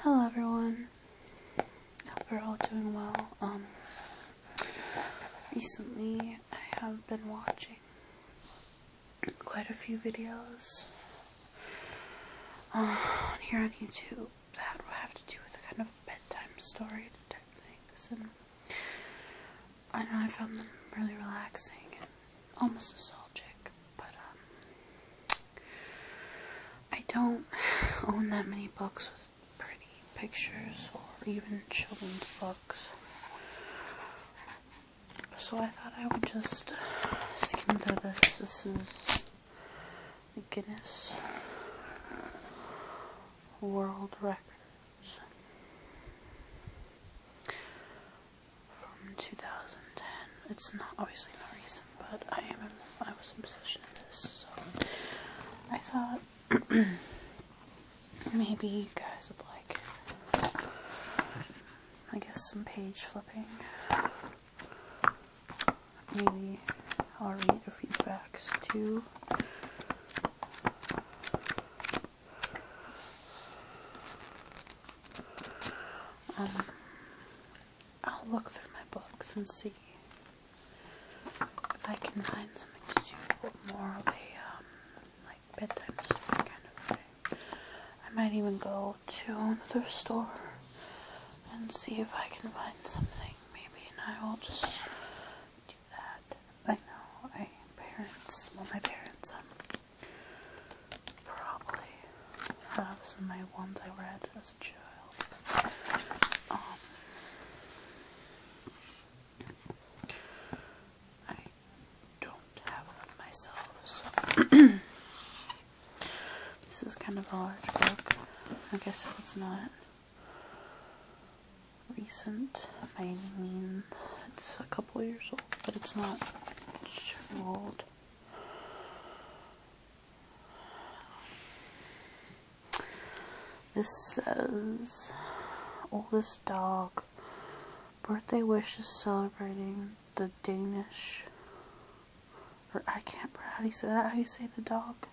Hello everyone. Hope you're all doing well. Um recently I have been watching quite a few videos uh, on here on YouTube that have to do with a kind of bedtime story type things and I know I found them really relaxing almost nostalgic, but um, I don't own that many books with pretty pictures or even children's books. So I thought I would just skim through this. This is the Guinness World Records from 2010. It's not obviously not recent, but I am I was in possession of this, so I thought maybe you guys would like it. I guess some page flipping. Maybe I'll read a few facts too. Um, I'll look through my books and see if I can find something to do more of a um, like bedtime story kind of thing. I might even go to another store and see if I can find something maybe, and I will just do that. I know I parents, well my parents um probably have some of my ones I read as a child. Um, I don't have them myself, so this is kind of a large book. I guess it's not recent by any means. It's a couple years old, but it's not too old. This says, oldest dog, birthday wish is celebrating the Danish. Or I can't, how you say that? How you say the dog?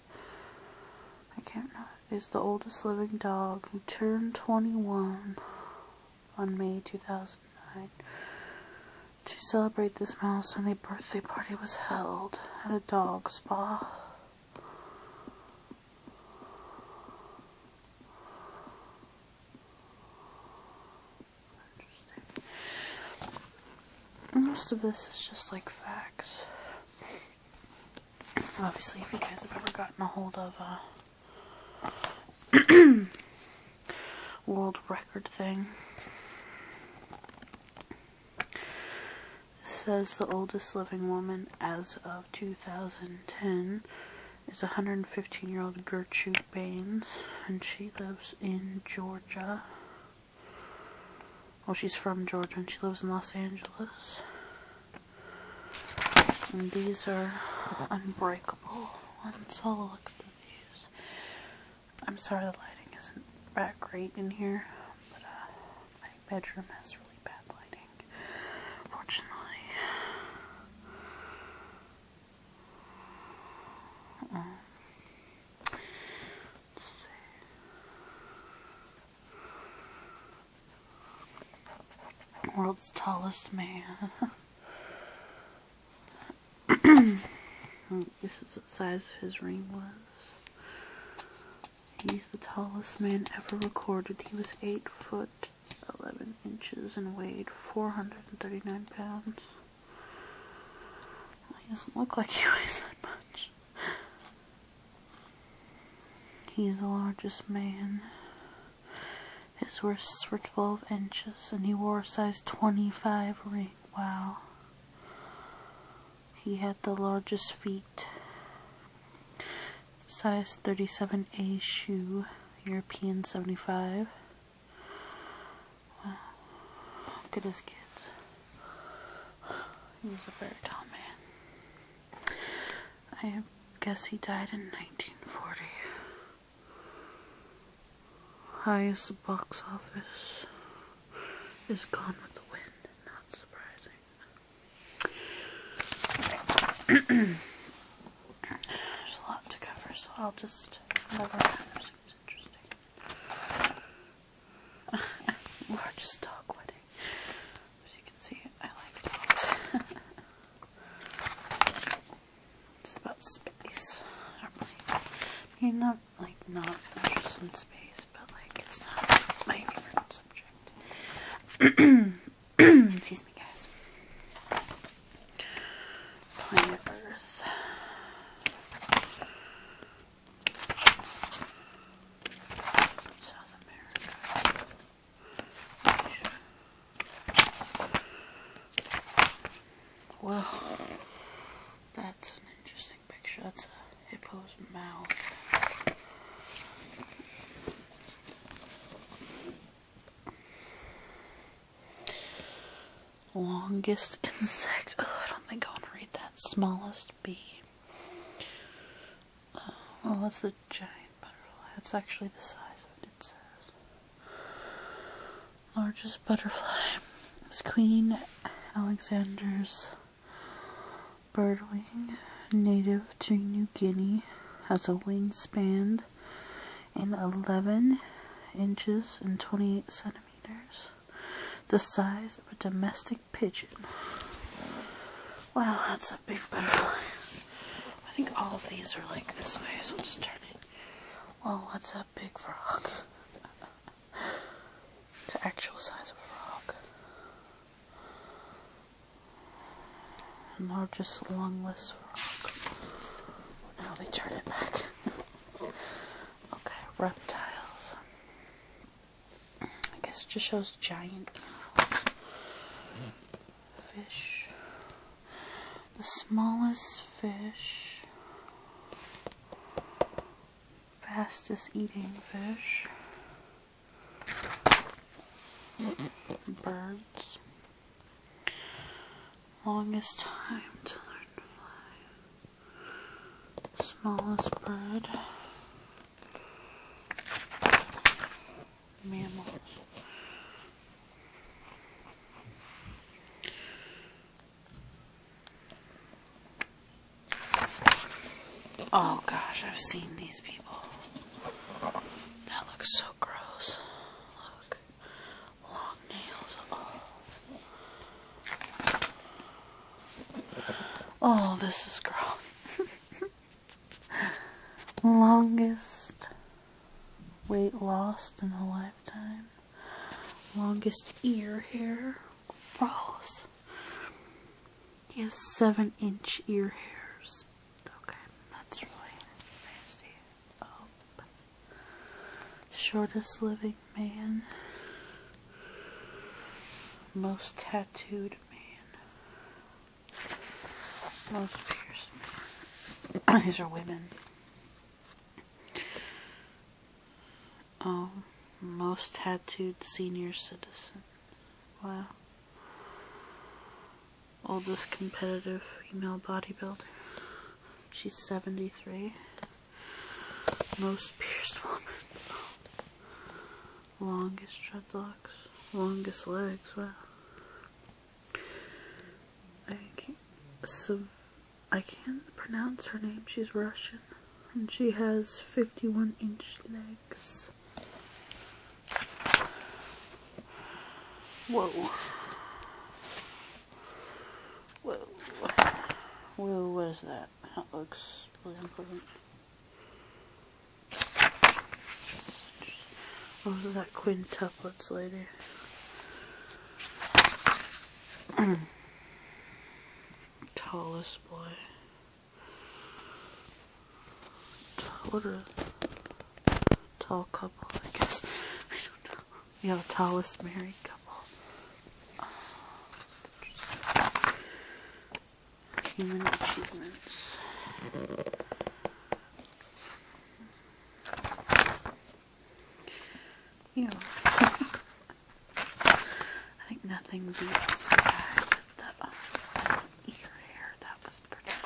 I can't, is the oldest living dog who turned 21 on May 2009. To celebrate this milestone, a birthday party was held at a dog spa. Most of this is just like facts. Obviously, if you guys have ever gotten a hold of a. Uh, world record thing. It says the oldest living woman as of 2010 is 115 year old Gertrude Baines, and she lives in Georgia. Well, she's from Georgia and she lives in Los Angeles. And these are unbreakable remarkable ones. i at the views. I'm sorry the lighting isn't that great in here, but uh, my bedroom has really bad lighting, fortunately. World's tallest man. Oh, this is what size his ring was. He's the tallest man ever recorded. He was 8 foot 11 inches and weighed 439 pounds. He doesn't look like he weighs that much. He's the largest man his wrists were 12 inches and he wore a size 25 ring. Wow. He had the largest feet. Size 37A shoe, European 75. Wow. Look at his kids. He was a very tall man. I guess he died in 1940. Highest box office is Gone with the Wind. Not surprising. There's a lot to cover, so I'll just whatever happens is interesting. Largest dog wedding. As you can see, I like it. it's about space. not like not interested in space, but like it's not my favorite subject. Excuse me, guys. Planet Earth. South America. Well, that's an interesting picture. That's a hippo's mouth. Longest insect. Oh, I don't think I want to read that. Smallest bee. Oh, well, that's a giant butterfly. That's actually the size of it, it says. Largest butterfly is Queen Alexander's birdwing, native to New Guinea, has a wing span in 11 inches and 28 centimeters, the size of a domestic pigeon. Wow, that's a big butterfly. I think all of these are like this way, so I'm just turning. Well, what's a big frog? it's actual size of a frog. Largest lungless frog. Now we turn it back. okay, reptiles. I guess it just shows giant fish. The smallest fish. Fastest eating fish. Birds. Longest time to learn to fly. Smallest bird mammals. Oh gosh, I've seen these people. That looks so gross. Look. Long nails. Oh, oh this is gross. Longest weight loss in a lifetime. Longest ear hair. Gross. He has seven inch ear hairs. Okay, that's really nasty. Oh. Shortest living man. Most tattooed man. Most pierced. These are women. Oh, most tattooed senior citizen. Wow. Oldest competitive female bodybuilder. She's 73. Most pierced woman longest dreadlocks, longest legs. Wow. I can't, I can't pronounce her name. She's Russian, and she has 51 inch legs. Whoa. Whoa. Whoa, what is that? That looks really important. What is was that quintuplets lady? Tallest boy. What a tall couple, I guess. We have the tallest married couple. You know, I think nothing beats uh, that ear hair that was pretty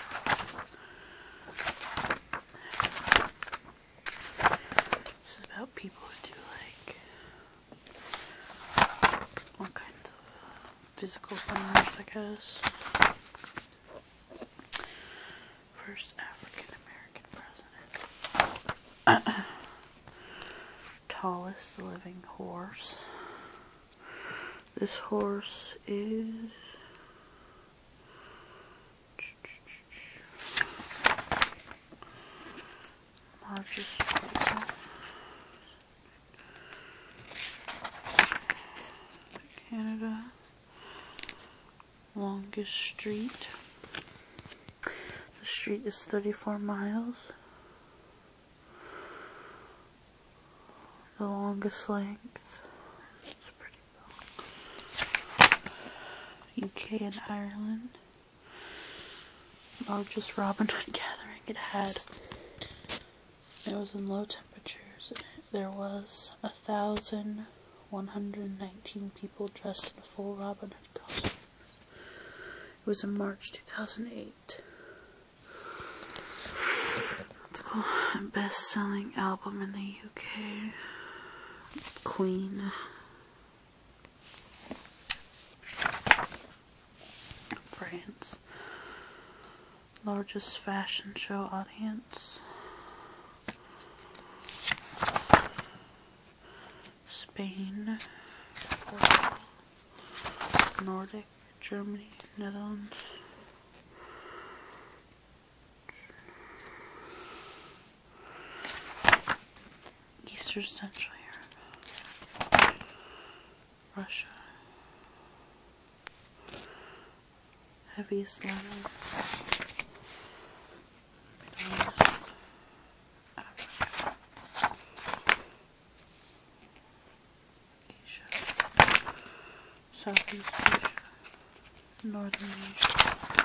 This is about people who do like all kinds of uh, physical things, I guess. First African American president. Tallest living horse. This horse is. Marcus Canada longest street. The street is 34 miles. The longest length. UK and Ireland largest Robin Hood gathering it had. It was in low temperatures. There was a thousand one hundred nineteen people dressed in full Robin Hood costumes. It was in March two thousand eight. Let's go best selling album in the UK. Queen France. Largest fashion show audience. Spain, Nordic, Germany, Netherlands. Eastern Central Europe, Russia, heavy level, Asia, Southeast Asia, Northern Asia.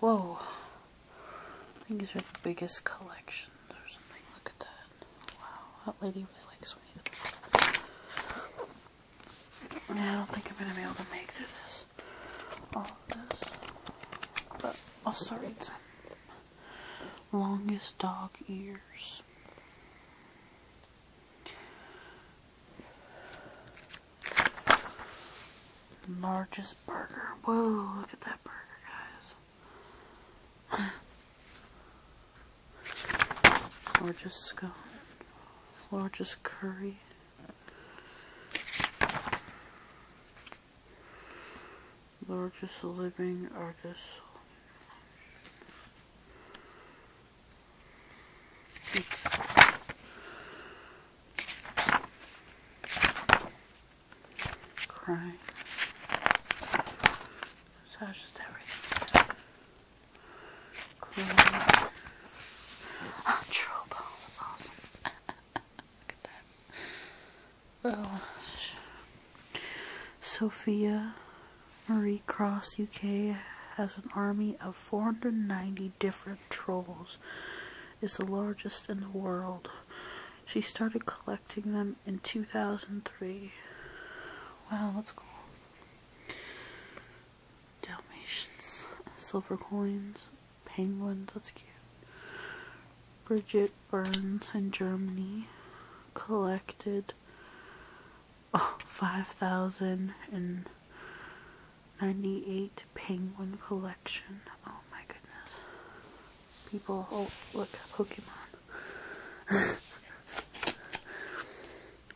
Whoa. I think these are the biggest collections or something. Look at that. Wow, that lady really likes me. I don't think I'm going to be able to make through this. All of this. But I'll start with Longest dog ears. Largest burger. Whoa, look at that burger, guys. Largest scone. Largest curry. Largest living artist. Crying. So just everything. Cool. Oh, ah, troll that's awesome. Look at that. Well, oh, Sophia Marie Cross UK has an army of 490 different trolls is the largest in the world. She started collecting them in 2003. Wow, that's cool. Dalmatians, silver coins, penguins, that's cute. Bridget Burns in Germany collected 5,000 and 98 penguin collection. Oh my goodness. People, oh, look, Pokemon.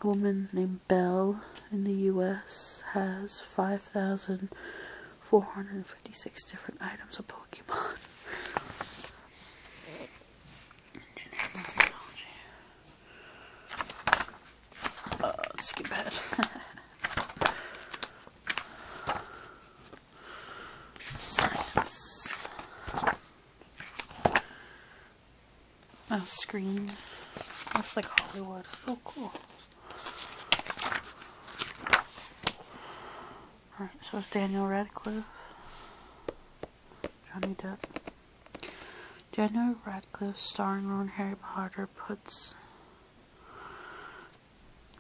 A woman named Belle in the US has 5,456 different items of Pokemon. Uh, skip ahead. Science. Oh, screen. That's like Hollywood. So oh, cool. Alright, so it's Daniel Radcliffe. Johnny Depp. Daniel Radcliffe starring Ron Harry Potter puts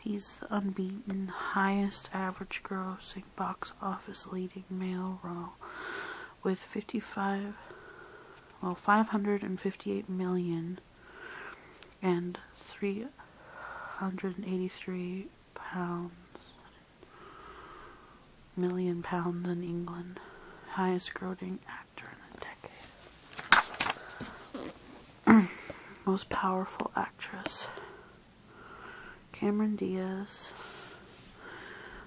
He's the unbeaten highest average grossing box office leading male role with 55 well 558 million and 383 pounds million pounds in England highest grossing actor most powerful actress. Cameron Diaz.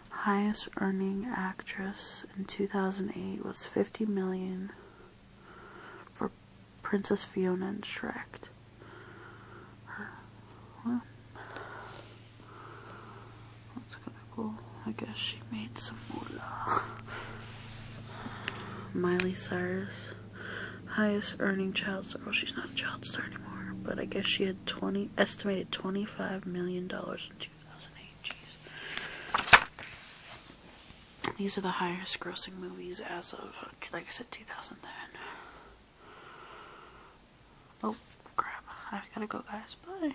Highest earning actress in 2008 was 50 million for Princess Fiona and Shrek. That's kind of cool. I guess she made some more. Miley Cyrus, highest earning child star. Well, she's not a child star anymore, but I guess she had 20 estimated 25 million dollars in 2008. Jeez. These are the highest grossing movies as of like I said 2010. Oh, crap. I gotta go, guys. Bye.